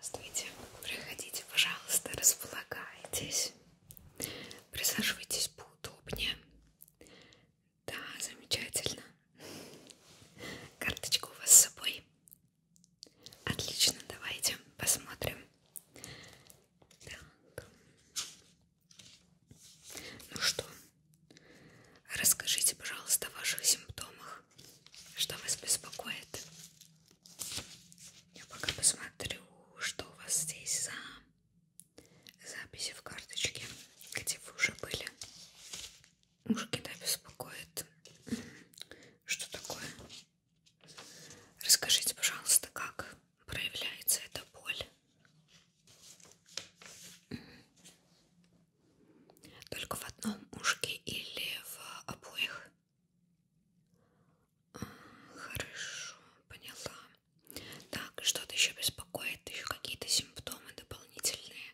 Здравствуйте! Проходите, пожалуйста, располагайтесь. Присаживайтесь поудобнее. Да, замечательно. Карточку у вас с собой. Отлично, давайте посмотрим. Так. Ну что, расскажите, пожалуйста, о ваших симптомах. Что вас беспокоит? Я пока посмотрю, что у вас здесь за записи в карточке, где вы уже были. Ушки, да, беспокоит. Что такое? Расскажите, пожалуйста, как проявляется эта боль? Только в одном ушке или в обоих? Хорошо, поняла. Так, что-то еще беспокоит, еще какие-то симптомы дополнительные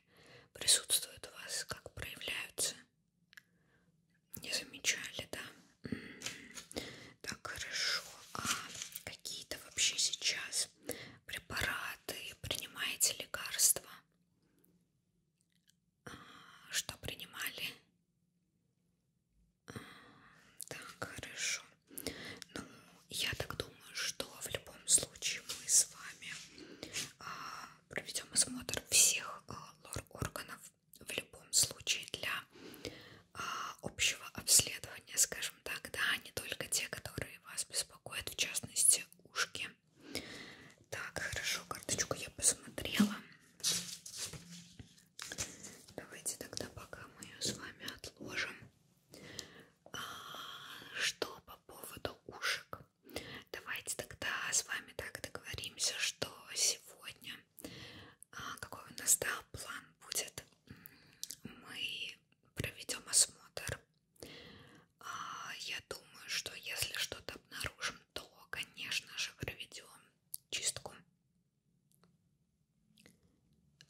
присутствуют у вас, как проявляются? Не замечали, да? Так, хорошо. А какие-то вообще сейчас препараты, принимаете лекарства? что принимали. Так, хорошо. Ну, я так думаю, что в любом случае мы с вами а, проведем осмотр всех а, лор-органов в любом случае для а, общего обследования, скажем так, да, не только те, которые вас беспокоят, в частности, ушки. Так, хорошо, карточку я посмотрела. Давайте тогда пока мы ее с вами отложим. А, что по поводу ушек? Давайте тогда с вами так договоримся, что сегодня а, какой у нас да, план будет. Мы проведем осмотр а, я думаю, что если что-то обнаружим, то, конечно же, проведем чистку.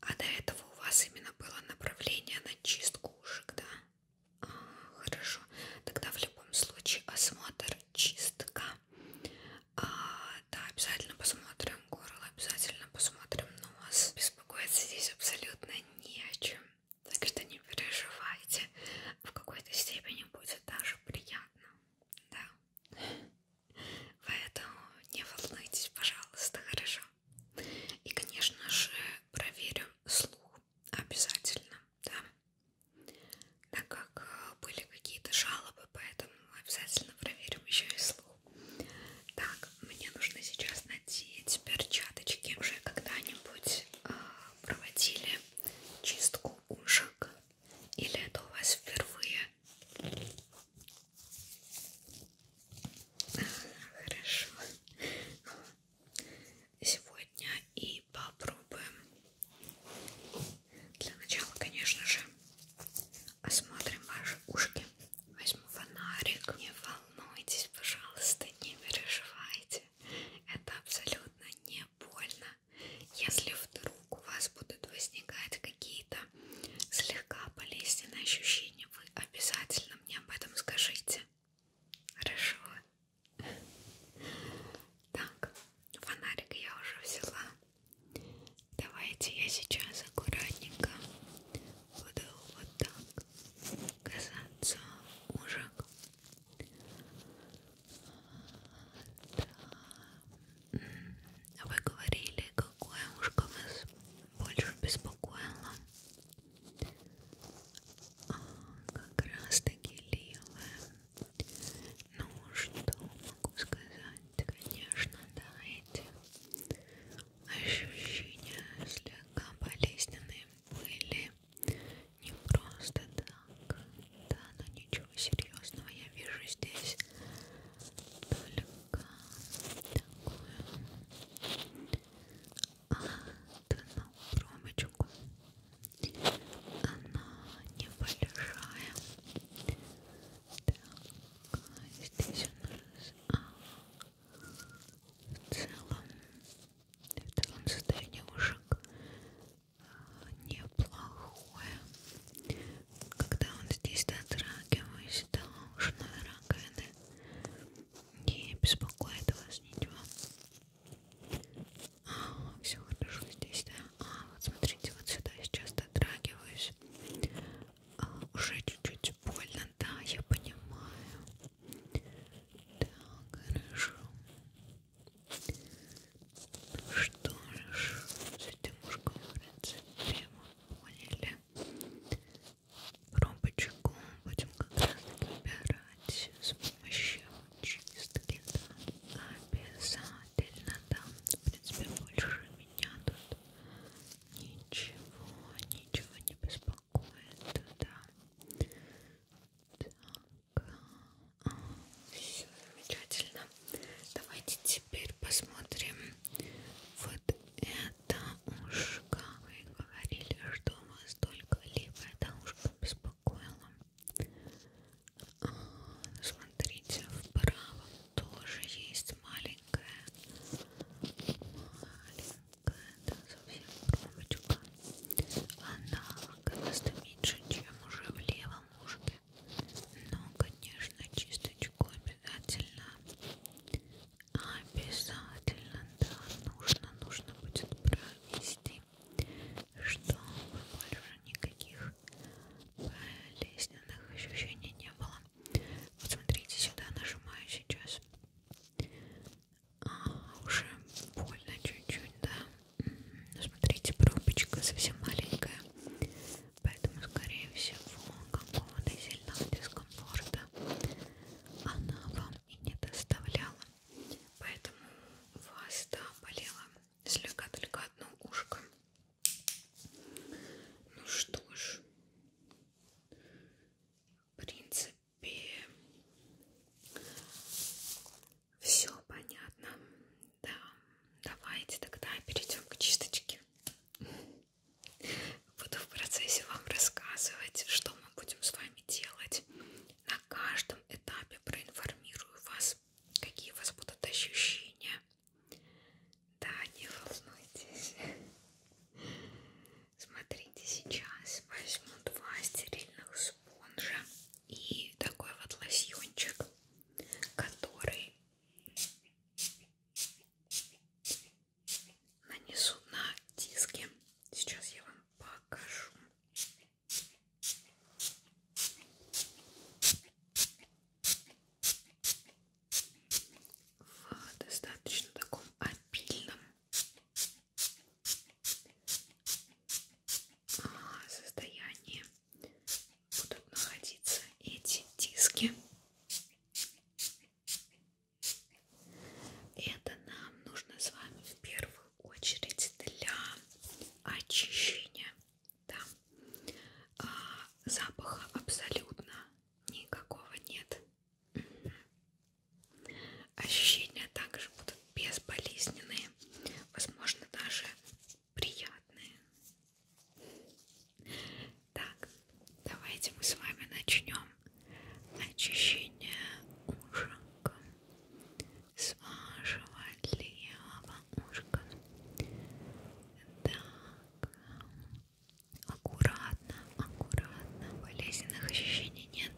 А до этого у вас именно было направление на чистку ушек, да? А, хорошо. Тогда в любом случае осмотр, чистка. А, да, обязательно посмотрим горло, обязательно посмотрим нос. Беспокоиться здесь абсолютно не о чем. Так что не переживайте, в какой-то степени будет даже приятно, да. Поэтому не волнуйтесь, пожалуйста, хорошо. И, конечно же, проверим слух обязательно, да. Так как э, были какие-то жалобы, поэтому обязательно проверим еще и слух. Так, мне нужно сейчас надеть перчаточки. Уже когда-нибудь э, проводили чистку ушек? Или это у вас впервые? А, хорошо. Сегодня и попробуем. Для начала, конечно же, осмотрим ваши ушки. Возьму фонарик. Не волнуйтесь, пожалуйста, не переживайте делайте. Это абсолютно не больно. Если вдруг у вас будут возникать какие-то слегка болезненные ощущения, вы обязательно мне об этом скажите. Хорошо. Так, фонарик я уже взяла. Давайте я сейчас аккуратненько буду вот так касаться ужек да. Вы говорили, какое ушко вас больше беспокоило? А, как раз таки левое. Ну что могу сказать? Конечно, да, эти ощущения слегка болезненные были не просто так. Да, но ничего серьезного я вижу здесь. Только такую одну промочку. Она небольшая. Так, здесь у нас а, в целом в целом состояние ушек а, неплохое. Когда он здесь дотрагиваюсь до ушной раковины, не беспокоит вас ничего. А, все хорошо здесь, да? А, вот смотрите, вот сюда сейчас дотрагиваюсь. А, уже чуть-чуть больно, да, я понимаю. Так, хорошо. Ну что ж, с этим мужиком, в принципе, мы поняли. Пробочку будем как раз выбирать с помощью чистки, да, обязательно, да, в принципе, больше меня тут ничего, ничего не беспокоит такое туда. Так, а, все замечательно. Давайте теперь посмотрим вот это ушко. Вы говорили, что вас только либо это ушко беспокоило. А, ну, смотрите, в правом тоже есть маленькая маленькая какая-то совсем кромочка. Она гораздо меньше, чем уже в левом ушке. Но, конечно, чисточку обязательно. Обязательно, да, нужно, нужно будет провести, чтобы больше никаких болезненных ощущений не было. Вот смотрите сюда, нажимаю сейчас а, уже больно чуть-чуть, да. Но смотрите, пробочка совсем маленькая, поэтому, скорее всего, какого-то сильного дискомфорта она вам и не доставляла. Поэтому у вас, да, болела слегка только одно ушко. Ну что ж, в принципе, принципе, все понятно. Да, давайте тогда перейдем к чисточке. Буду в процессе вам рассказывать, что мы будем с вами делать. На каждом этапе проинформирую вас, какие у вас будут ощущения. Да, не волнуйтесь. Смотрите, сейчас возьму два стерильных спонжа и такой вот лосьончик, который нанесу на диски. Сейчас я вам покажу. В достаточно таком обильном а, состоянии будут находиться эти диски. Это нам нужно с вами в первую очередь для очищения да? а, запаха абсолютно никакого нет. Ощущения также будут безболезненные, возможно, даже приятные. Так, давайте мы с вами начнем очищение ушка с вашего левого ушка. Так, аккуратно, аккуратно, болезненных ощущений нет.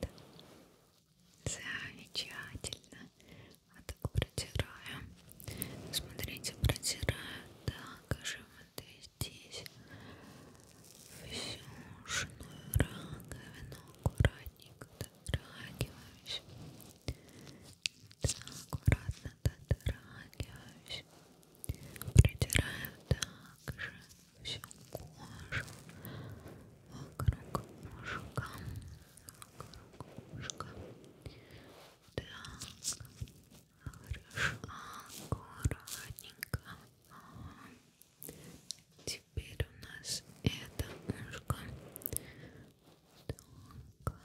Замечательно. А так протираю. Смотрите, протираю. Так, а животы здесь. Всю ушную раковину аккуратненько дотрагиваюсь. Так, аккуратно дотрагиваюсь. Протираю так же всю кожу вокруг ушка, вокруг ушка. Так, хорошо, аккуратненько. Теперь у нас это ушко. Так,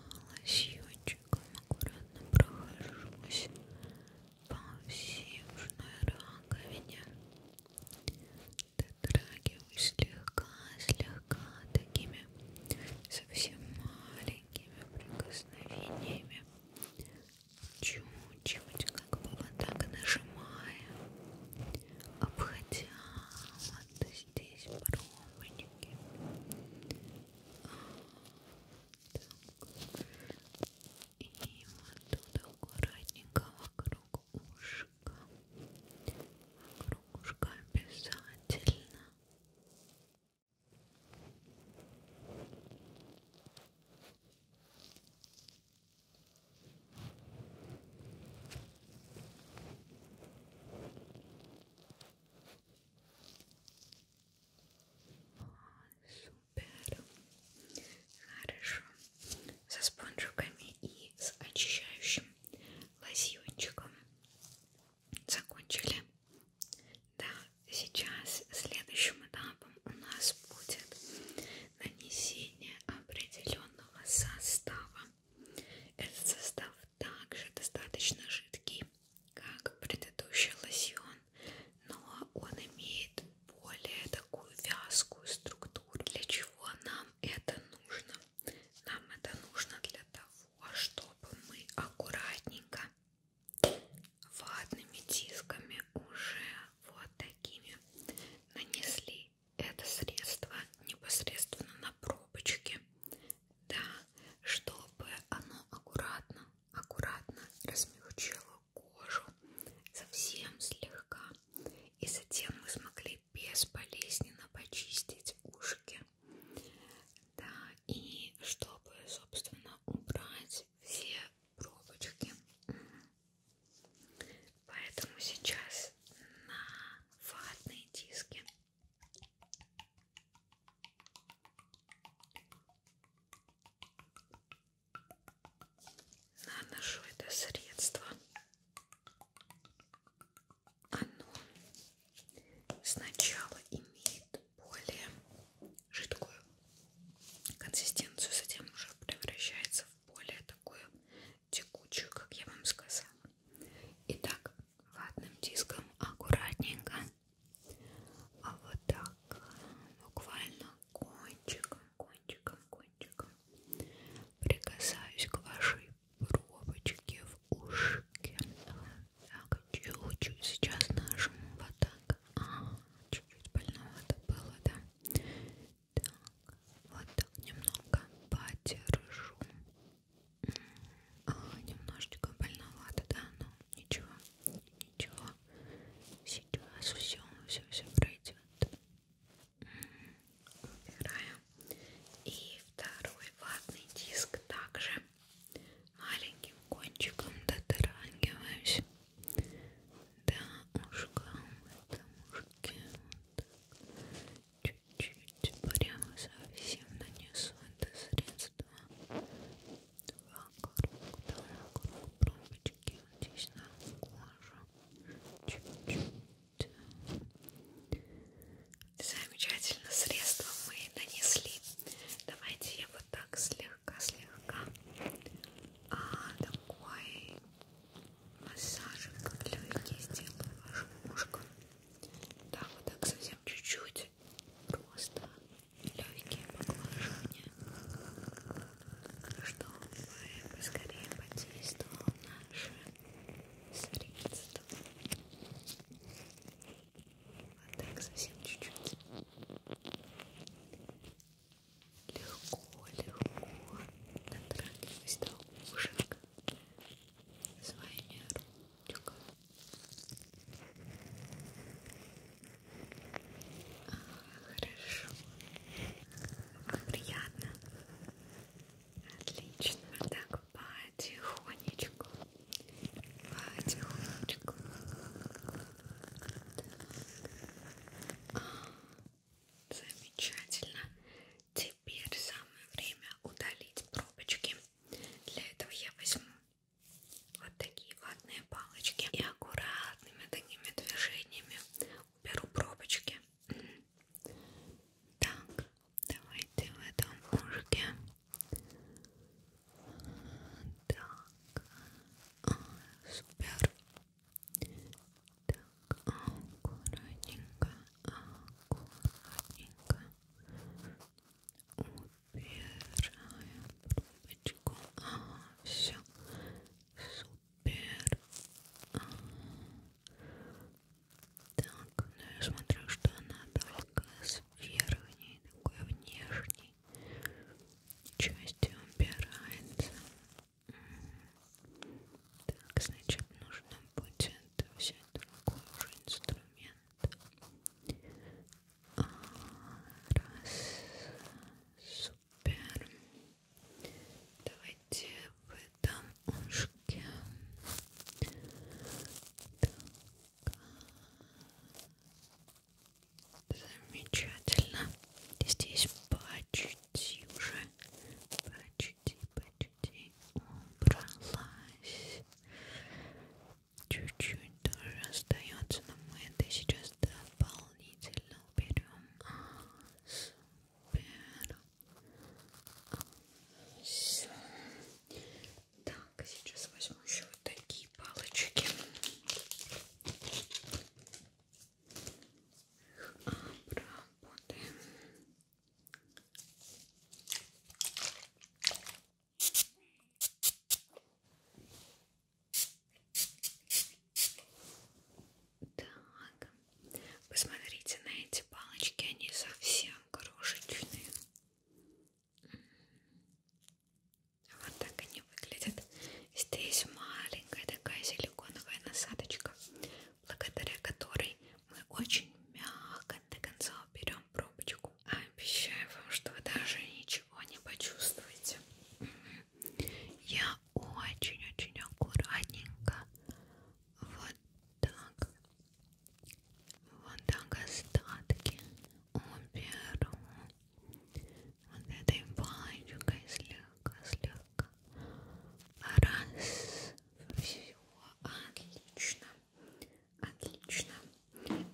лосьончиком аккуратно прохожусь пассивной раковине дотрагиваюсь слегка, слегка такими совсем маленькими прикосновениями чуть-чуть как бы вот так нажимая обходя вот здесь пробочки а, так. И вот тут аккуратненько вокруг ушка. Вокруг ушка обязательно. Супер пэдом. Хорошо. Со спонжиками и с очищающим лосьончиком закончили. Да, сейчас следующим этапом у нас будет нанесение определенного состава. Этот состав также достаточно жидкий, как предыдущий лосьон, но он имеет более такую вязкую структуру. Для чего нам это нужно? Нам это нужно для того, чтобы мы аккуратненько ватными дисками уже вот такими нанесли это средство непосредственно на пробочки, да, чтобы оно аккуратно, аккуратно размягчило кожу совсем слегка. И затем мы смогли безболезненно почистить ушки. Да, и чтобы, собственно, убрать все пробочки. Поэтому сейчас на ватные диски наношу это средство. Оно сначала имеет более жидкую консистенцию, затем уже превращается в более такую текучую, как я вам сказала. Итак, ватным диском аккуратненько, а вот так буквально кончиком, кончиком, кончиком прикасаюсь к вашей пробочке в ушке. Так, чуть-чуть сейчас нажму вот так. А, чуть-чуть больного это было, да? Так, вот так немного подержу. А, немножечко больновато, да, но ну, ничего, ничего, сейчас все, все, все пройдет. Убираем. И второй ватный диск также маленьким кончиком дотрагиваюсь до ушка в этом ушке. Чуть-чуть вот прямо совсем нанесу это средство два круг, два круг пробочки здесь на кожу чуть-чуть замечательно средство мы нанесли давайте я вот так слегка-слегка а, такой массажик легкий сделаю вашим ушкам да, вот так совсем чуть-чуть просто легкие поглаживания, чтобы поскорее подействовало наше средство. Вот так совсем чуть-чуть. Легко, легко дотрагиваясь до ушек своими ручками. Хорошо. Вам приятно. Отлично. Так, потихонечку. Потихонечку. Так. А, замечательно. Теперь самое время удалить пробочки. Для этого я возьму вот такие ватные палочки и аккуратными такими движениями уберу пробочки. Так, давайте в этом ушке. Так, а, супер. Так, аккуратненько, аккуратненько убираем пробочку. Ага, все, Супер. Так, ну я смотрю, что она только с верхней, такой внешней частью убирается. Так, значит, нужно будет взять другой уже инструмент. А, раз, супер. Супер. Давайте в этом ушке. Так. Замечательно. Здесь почти уже, почти, почти убралась. Чуть-чуть тоже остается, но мы это сейчас дополнительно уберем. Супер. Все. Так, сейчас возьму еще вот такие палочки. Обработаем. Так, посмотрите на эти палочки, они совсем крошечные. Вот так они выглядят. Здесь маленькая такая силиконовая насадочка, благодаря которой мы очень мягко до конца уберем пробочку. Обещаю вам, что вы даже ничего не почувствуете я очень-очень аккуратненько вот так вот так остатки уберу вот этой палочкой слегка слегка раз все отлично отлично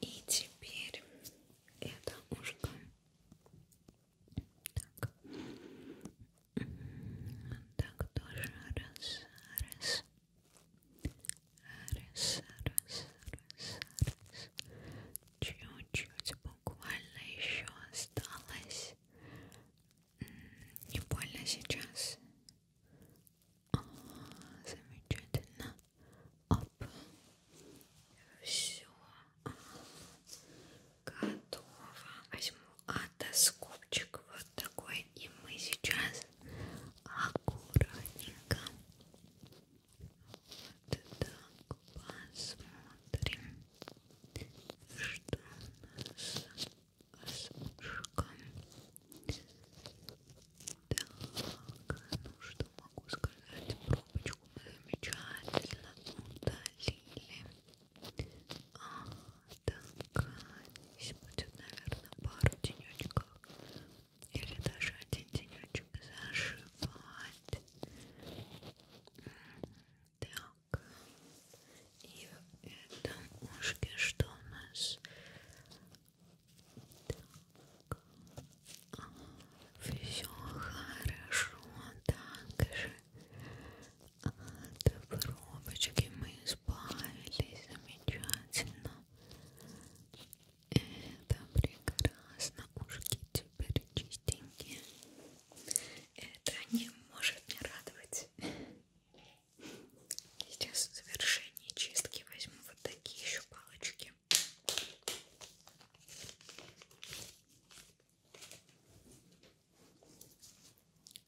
и теперь это ушко так. Так, тоже раз, раз. Раз, раз, раз, раз. Чуть-чуть буквально еще осталось. Не больно сейчас. О, замечательно. Оп. Все. Готово. Возьму отоскопчик вот такой. И мы сейчас аккуратненько вот так посмотрим, что у нас с ушком. Так, ну что могу сказать, пробочку замечательно удалили. А, так, здесь будет, наверное, пару денечков или даже один денечек зашивать. Так, и в этом ушке что у нас? Так. Все хорошо, так же. От пробочки мы избавились замечательно. Это прекрасно. Ушки теперь чистенькие. Это не может не радовать. Сейчас в завершении чистки возьму вот такие еще палочки.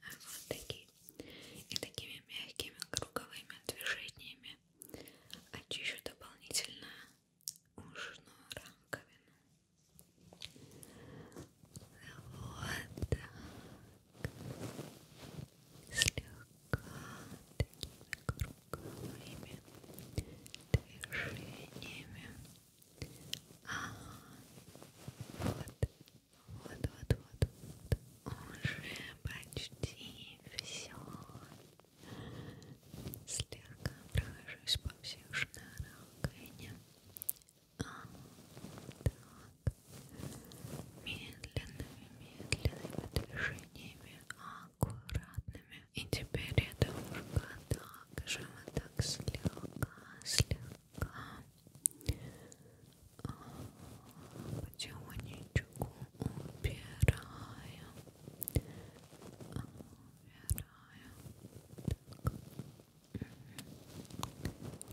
А вот такие. И такими мягкими круговыми движениями очищу а дополнительно ушную рамковину. Вот так. Слегка такими кругами круглыми движениями. Ага. Вот, вот, вот, вот, вот. Уже почти все. Слегка прохожусь по всех шнурах коня. А, так. Медленными, медленными движениями. А, аккуратными. И теперь это уже также мы так слегка, слегка потихонечку убираем. Убираем.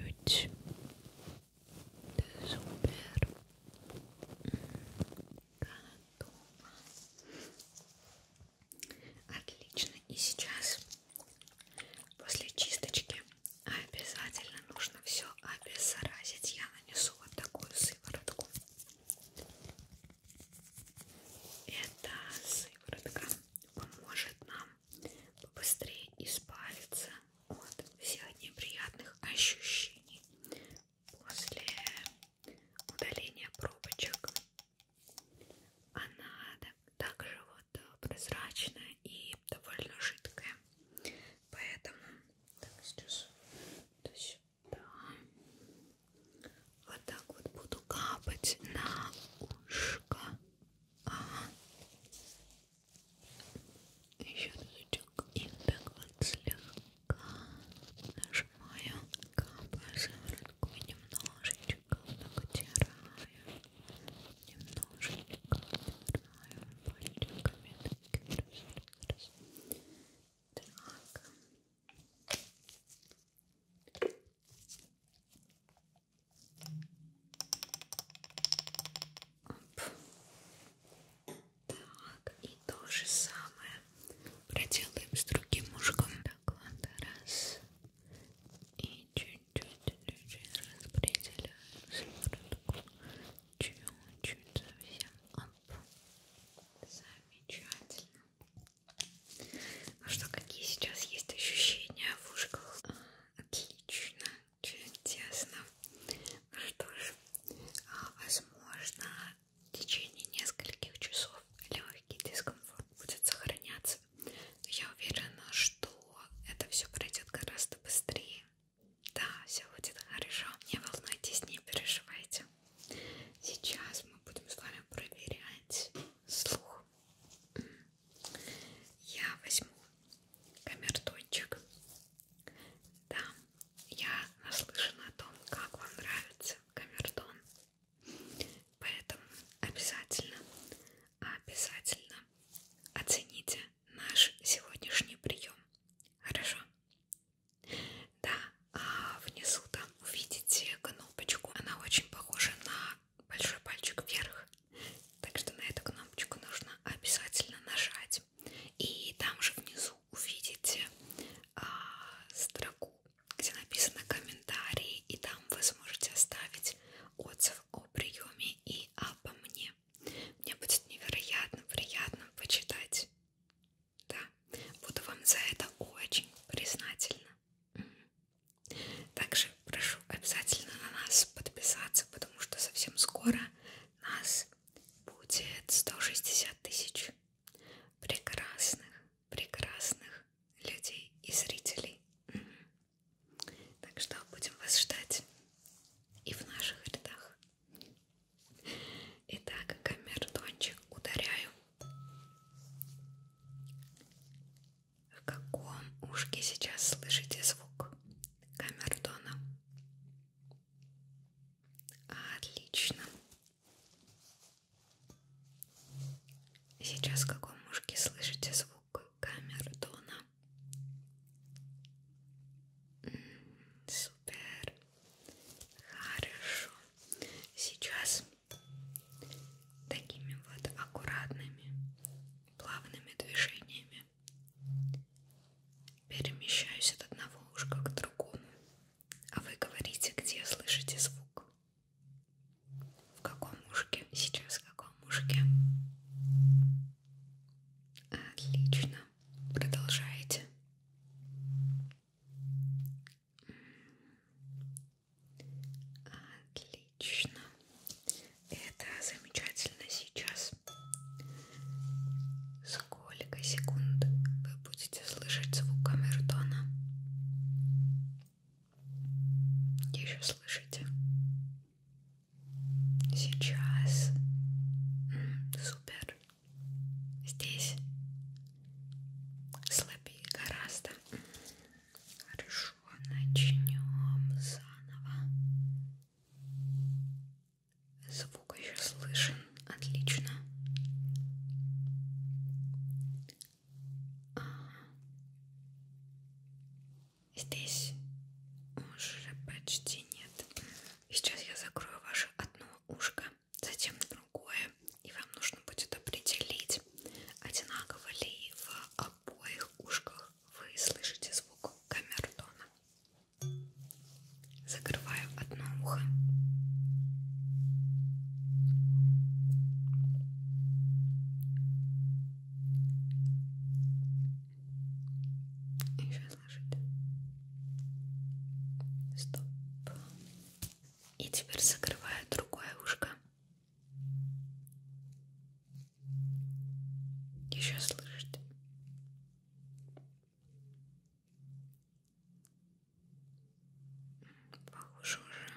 Чуть-чуть. Супер. Готово. Отлично. И сейчас после чисточки обязательно нужно все обеззаразить. Я нанесу вот такую сыворотку. Эта сыворотка поможет нам быстрее избавиться от всех неприятных ощущений после удаления пробочек она также вот э, прозрачная и довольно жидкая поэтому так сейчас вот сюда вот так вот буду капать на ушко ага. еще разочек и так вот слегка нажимаю капаю сыворотку немножечко натираю немножечко натираю пальчиками раз, раз. так Оп. Так, и то же самое проделаем с другим ушком. Так, ладно, раз. И чуть-чуть людей распределяем сверху. Чуть-чуть совсем оп. Замечательно. Ну что, какие сейчас есть ощущения в ушках? А, отлично, чудесно. Ну что ж, а, возможно, в течение нескольких часов легкий дискомфорт будет сохраняться. Но я уверена, что это все пройдет гораздо быстрее. Да, все будет хорошо. Не волнуйтесь, не переживайте. Сейчас мы будем с вами проверять слух. Я возьму камертончик. Да, я наслышана о том, как вам нравится камертон. Поэтому обязательно, обязательно оцените наш сегодняшний прием. Хорошо? Да, а внизу там увидите кнопочку. Она очень похожа на большой пальчик вверх. Так что на эту кнопочку нужно обязательно нажать и там же внизу увидите а, строку, где написано комментарии, и там вы сможете оставить отзыв о приеме и обо мне. Мне будет невероятно приятно почитать. Да, буду вам за это очень признательна. Также прошу обязательно на нас подписаться, потому что совсем скоро нас будет 160 тысяч прекрасных, прекрасных людей и зрителей. Так что будем вас ждать и в наших рядах. Итак, камертончик ударяю. В каком ушке сейчас слышите звук камертона? Отлично. Сейчас в каком ушке слышите звук камеры тона? Супер. Хорошо. Сейчас такими вот аккуратными, плавными движениями Перемещаюсь от одного ушка к другому, а вы говорите, где слышите звук. В каком ушке? Сейчас в каком ушке? Отлично. Продолжаете. Отлично. Это замечательно сейчас. Сколько секунд вы будете слышать звук камертона? Еще слышите? Сейчас. Супер. Здесь слабее гораздо. Хорошо, начнем заново. Звук еще слышен. Отлично. Ага. Здесь уже почти нет. Сейчас я закрою ваше одно ушко, затем другое. И вам нужно будет определить, одинаково ли в обоих ушках вы слышите звук камертона. Закрываю одно ухо. И сейчас ложить. Стоп. И теперь закрываю другое ушко. Еще слышите? Похоже уже.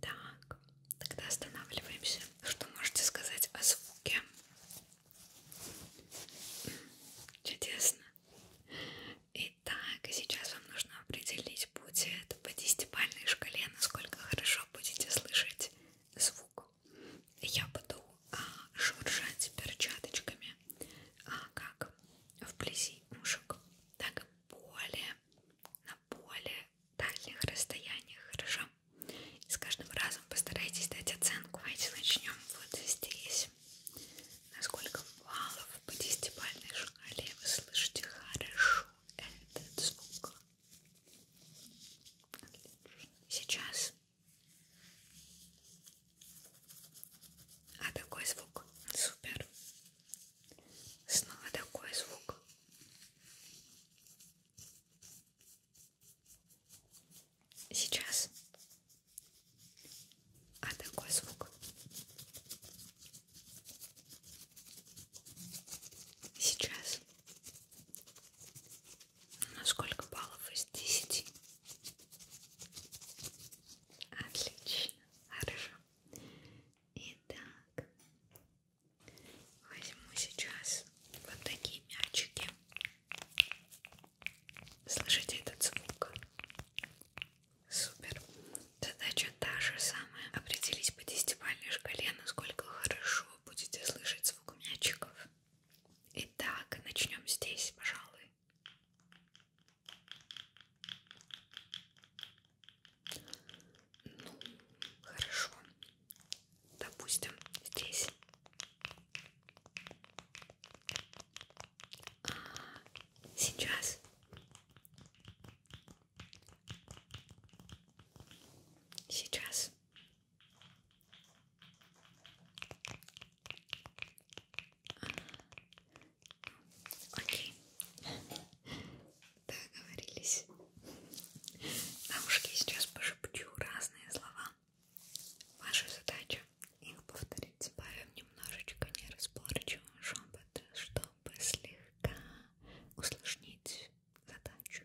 Так, тогда останавливаемся. Что можете сказать о звуке? Чудесно. Итак, сейчас вам нужно определить, будет по десятибалльной шкале, насколько хорошо будете слышать звук я буду а, шуршать перчаточками а, как вблизи ушек, так и более на более дальних расстояниях, хорошо? И с каждым разом постарайтесь дать оценку. Давайте начнем вот здесь. Насколько баллов по десятибальной шкале вы слышите хорошо этот звук? Отлично. Сейчас а такой звук. Супер. Снова такой звук. Сейчас. А такой звук. Сейчас. На сколько баллов из 10? Отлично, хорошо. Итак, возьму сейчас вот такие мячики. Слышите этот звук? Супер. Задача та же самая. Определись по десятибалльной шкале, насколько хорошо будете слышать звук мячиков. Итак, начнем здесь, пожалуй. Ну, хорошо. Допустим, здесь. А сейчас. Сейчас. Окей. Договорились. На ушки сейчас пошепчу разные слова. Ваша задача их повторить. Сбавим немножечко неразборчивым шепот, чтобы слегка усложнить задачу.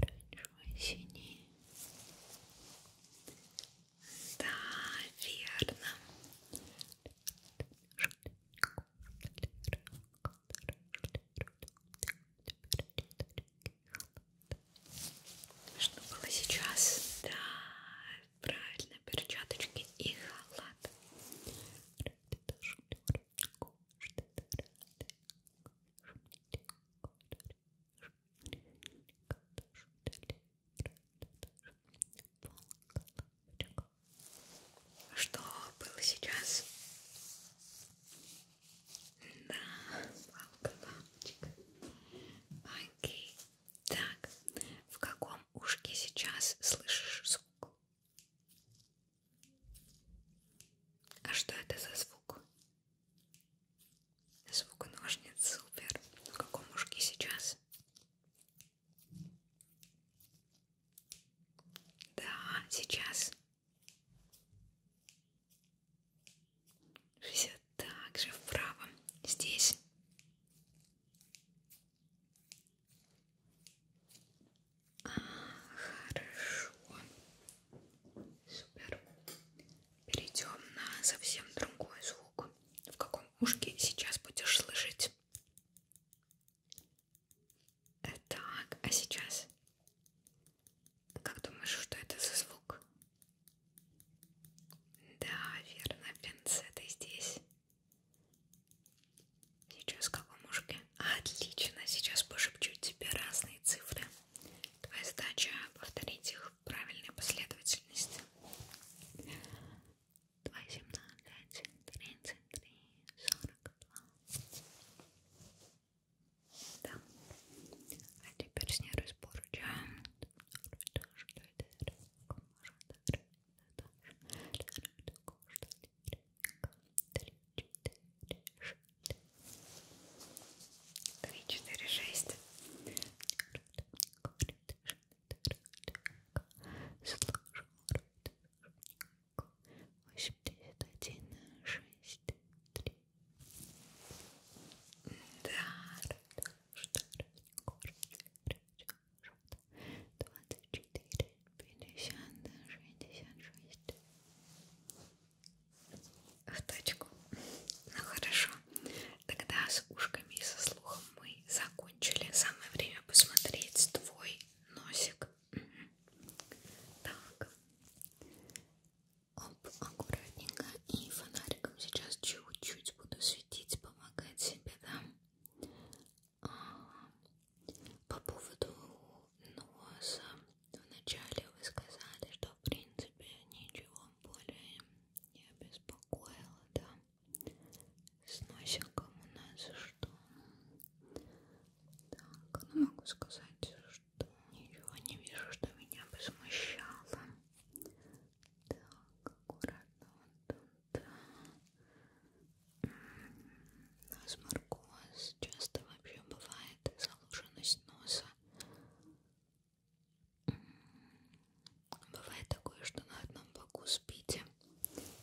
оранжевый, синий. Да, верно. Что было сейчас? Да, правильно, перчаточки и халат. Что было сейчас? Да, палка-лампочка. Окей. Так, в каком ушке сейчас слышишь звук? А что это за звук? Звук ножниц супер. В каком ушке сейчас? Да, сейчас. Все так же в правом. Здесь. А, хорошо. Супер. Перейдем на совсем другой звук. В каком ушке сейчас будешь слышать? Э, так, а сейчас? Как думаешь, что это за звук? Да, верно, пинцеты здесь. Сейчас в каком ушке? Отлично, сейчас пошепчу тебе разные цифры. Твоя задача повторить их в правильной последовательности. 2, 17, 33, 42. Да. А теперь с ней разборчаем. Три, четыре, шесть, Три, четыре, шесть. Восемьдесят один, шесть, три. Да. Двадцать четыре, пятьдесят, шестьдесят шесть в точку. Ну хорошо, тогда с ушками и со слухом мы закончили. Самое время посмотреть твой носик. Так, оп, аккуратненько и фонариком сейчас чуть-чуть буду светить, помогать себе, да? А, по поводу носа Вначале вы сказали, что в принципе ничего более не обеспокоило, да? С носиком у нас что? Так, ну могу сказать, что ничего не вижу, что меня бы смущало. Так, аккуратно вот тут. Нос маркоз часто вообще бывает заложенность носа. Бывает такое, что на одном боку спите,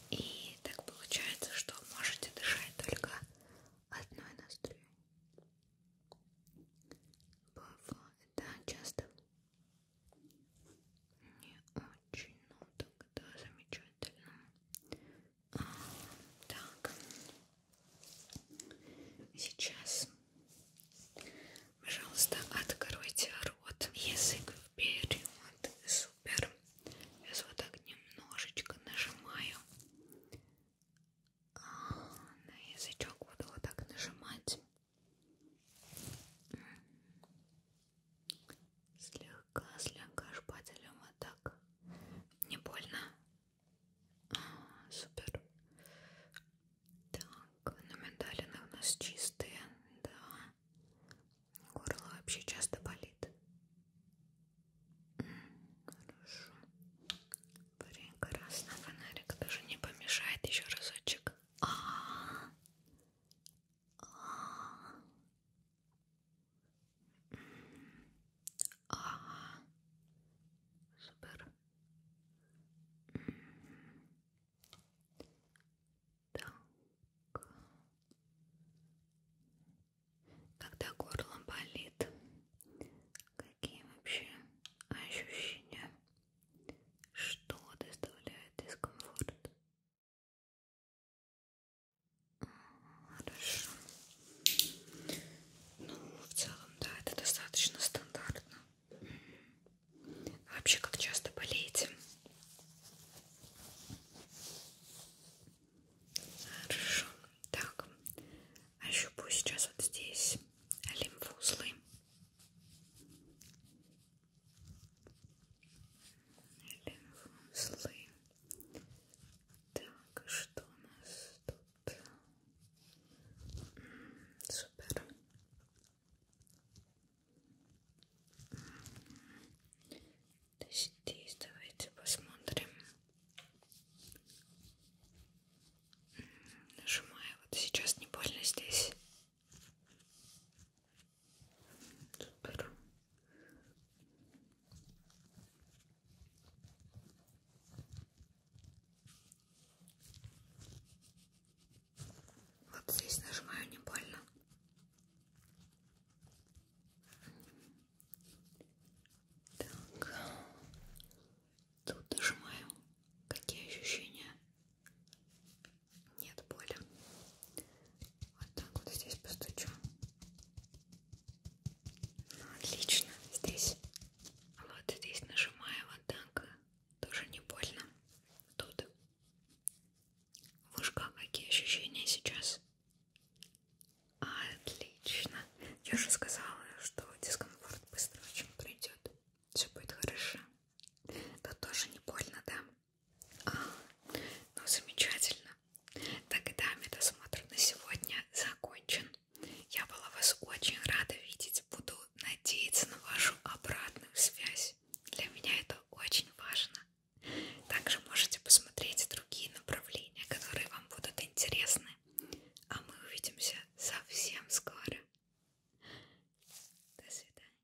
и так получается, что можете дышать только одной ноздрю. Бывает, да, часто. Не очень, но тогда замечательно. Так. Сейчас, пожалуйста, откройте рот, язык вперед. Супер. Сейчас вот так немножечко нажимаю а, на язычок. Буду вот так нажимать. Слегка, слегка шпателем вот так. Не больно? А, супер. Так, на миндалины у нас чистые, да. Горло вообще часто болит. Хорошо. Прекрасно. Фонарик тоже не помешает. Еще разочек. А -а -а. А -а -а. Ага. Супер. Так. Когда горло болит, какие вообще ощущения? Что доставляет дискомфорт? Хорошо. Ну, в целом, да, это достаточно стандартно. А вообще, как часто болеете? Хорошо. Так, ощупаю а сейчас вот здесь лимфоузлы. Лимфоузлы. Так, что у нас тут? Супер. Здесь давайте посмотрим. Нажимаю вот сейчас не больно здесь. Супер. Вот здесь нажимаю, не больно. Так. Тут нажимаю. Какие ощущения? Нет боли. Вот так вот здесь постучу. Ну, отлично, здесь вот здесь нажимаю вот так, тоже не больно. Тут в ушках какие ощущения сейчас? Отлично. Я же сказала, что дискомфорт быстро очень пройдет. Все будет хорошо. Тут тоже не больно, да? А, ну замечательно. Тогда медосмотр на сегодня закончен. Я была вас очень рада видеть. Буду надеяться на вашу обратную связь. Для меня это очень важно. Также можете посмотреть другие направления, которые вам будут интересны. А мы увидимся совсем скоро. До свидания.